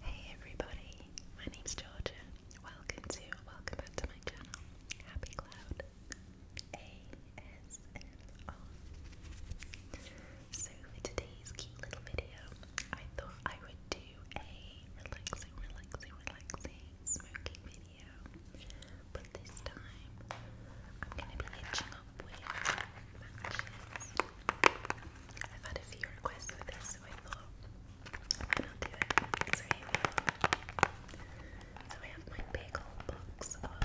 Hey everybody, my name's Georgia. Welcome to, welcome back to my channel, Happy Cloud So for today's cute little video, I thought I would do a relaxing, relaxing, relaxing smoking video. But this time, I'm going to be hitching up with I've had a few requests for this, so I thought, why not do it? So I have my big box of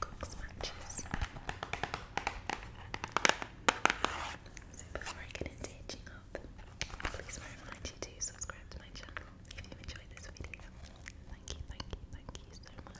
Cook's matches. So before I get into hitching please remind you to subscribe to my channel if you enjoyed this video. Thank you, thank you, thank you so much.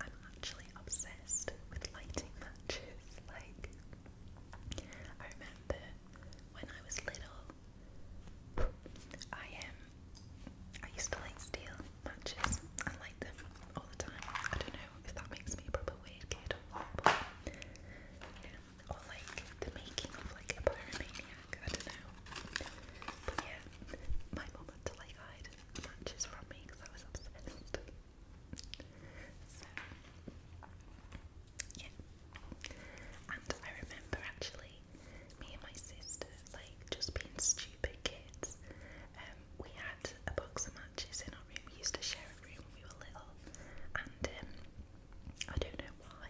I'm actually obsessed with lighting matches. Like, I remember when I was little, I um, I used to like steel matches I light them all the time. I don't know if that makes me a proper weird kid or what, or like the making of like a pyromaniac. I don't know, but yeah, my mum to like matches from me because I was obsessed. so, yeah. And I remember actually me and my sister, like just being stupid kids, um, we had a box of matches in our room. We used to share a room when we were little, and um, I don't know why,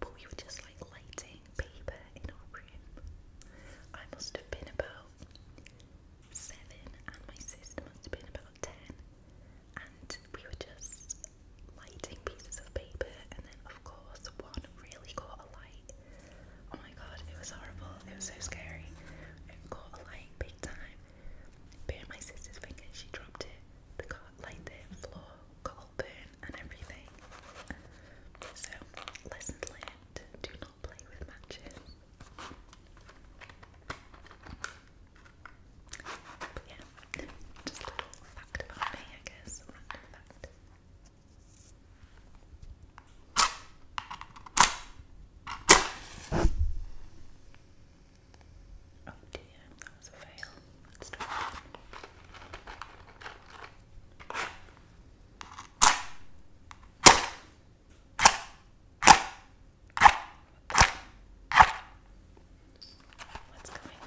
but we were just like lighting paper in our room. I must have been about seven, and my sister must have been about ten, and we were just lighting pieces of paper, and then, of course, one really caught a Oh my god, it was horrible, it was so scary. It caught a big time. Bit my sister's finger, she dropped it. The car, like the floor open and everything. So, lesson learned do not play with matches. yeah, just little fact about me, I guess. Random fact. Oh dear, that was a fail. Let's do What's going on?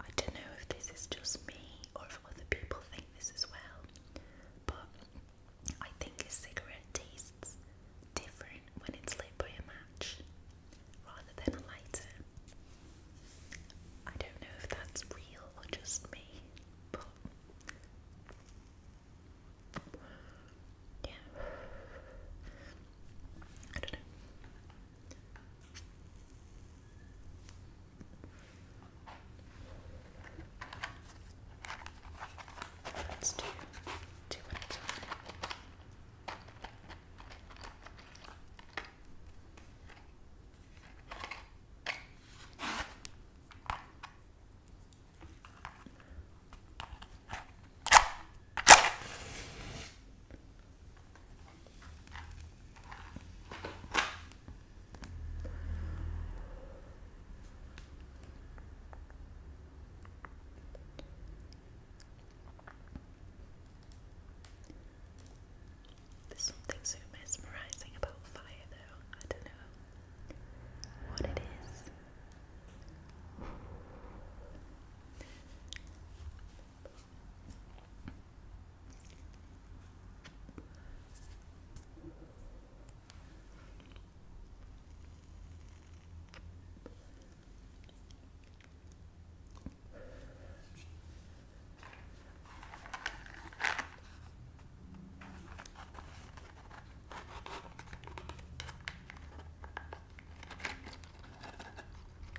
I don't know if this is just me or if other people think this as well, but I think a cigarette tastes tastes different when it's lit by a match rather than a lighter. I don't know if that's real or just me, but yeah, I don't know. Let's do two at a time. There's something so mesmerizing about fire, though. I don't know what it is.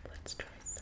Let's try three.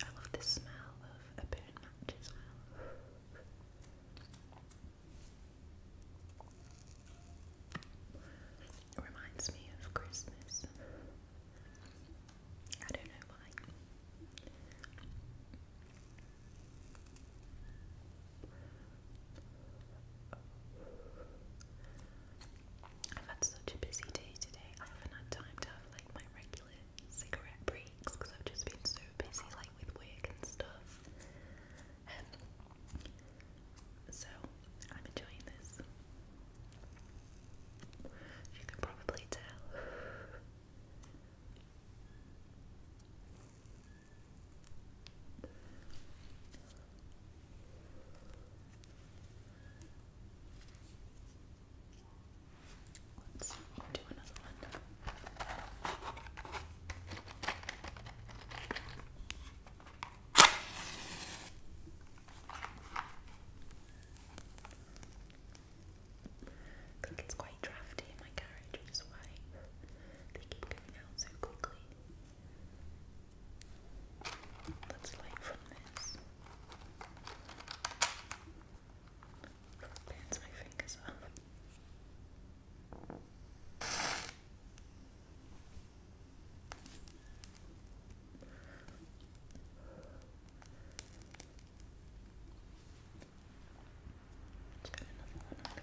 I love the smell of a burn match as well. It reminds me of Christmas. I don't know why. I've had such a busy day today. I haven't had time to have like my regular cigarette breaks because I've just been so busy like with work and stuff. Um, so I'm enjoying this. You can probably tell. Let's do another one. think it's quite drafty in my carriage, which is why they keep going out so quickly. Let's light from this. Bounce my fingers off. Let's get on the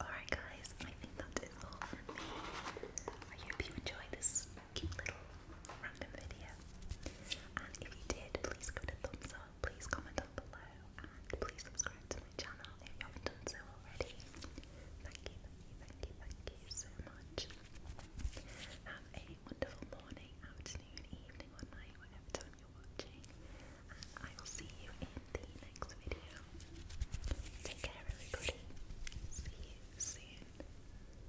Alright, guys, I think that is all for me. I hope you enjoyed this cute little random video. And if you did, please give it a thumbs up, please comment down below, and please subscribe to my channel if you haven't done so already. Thank you, thank you, thank you, thank you so much. Have a wonderful morning, afternoon, evening, or night, whatever time you're watching. I will see you in the next video. Take care, everybody. See you soon.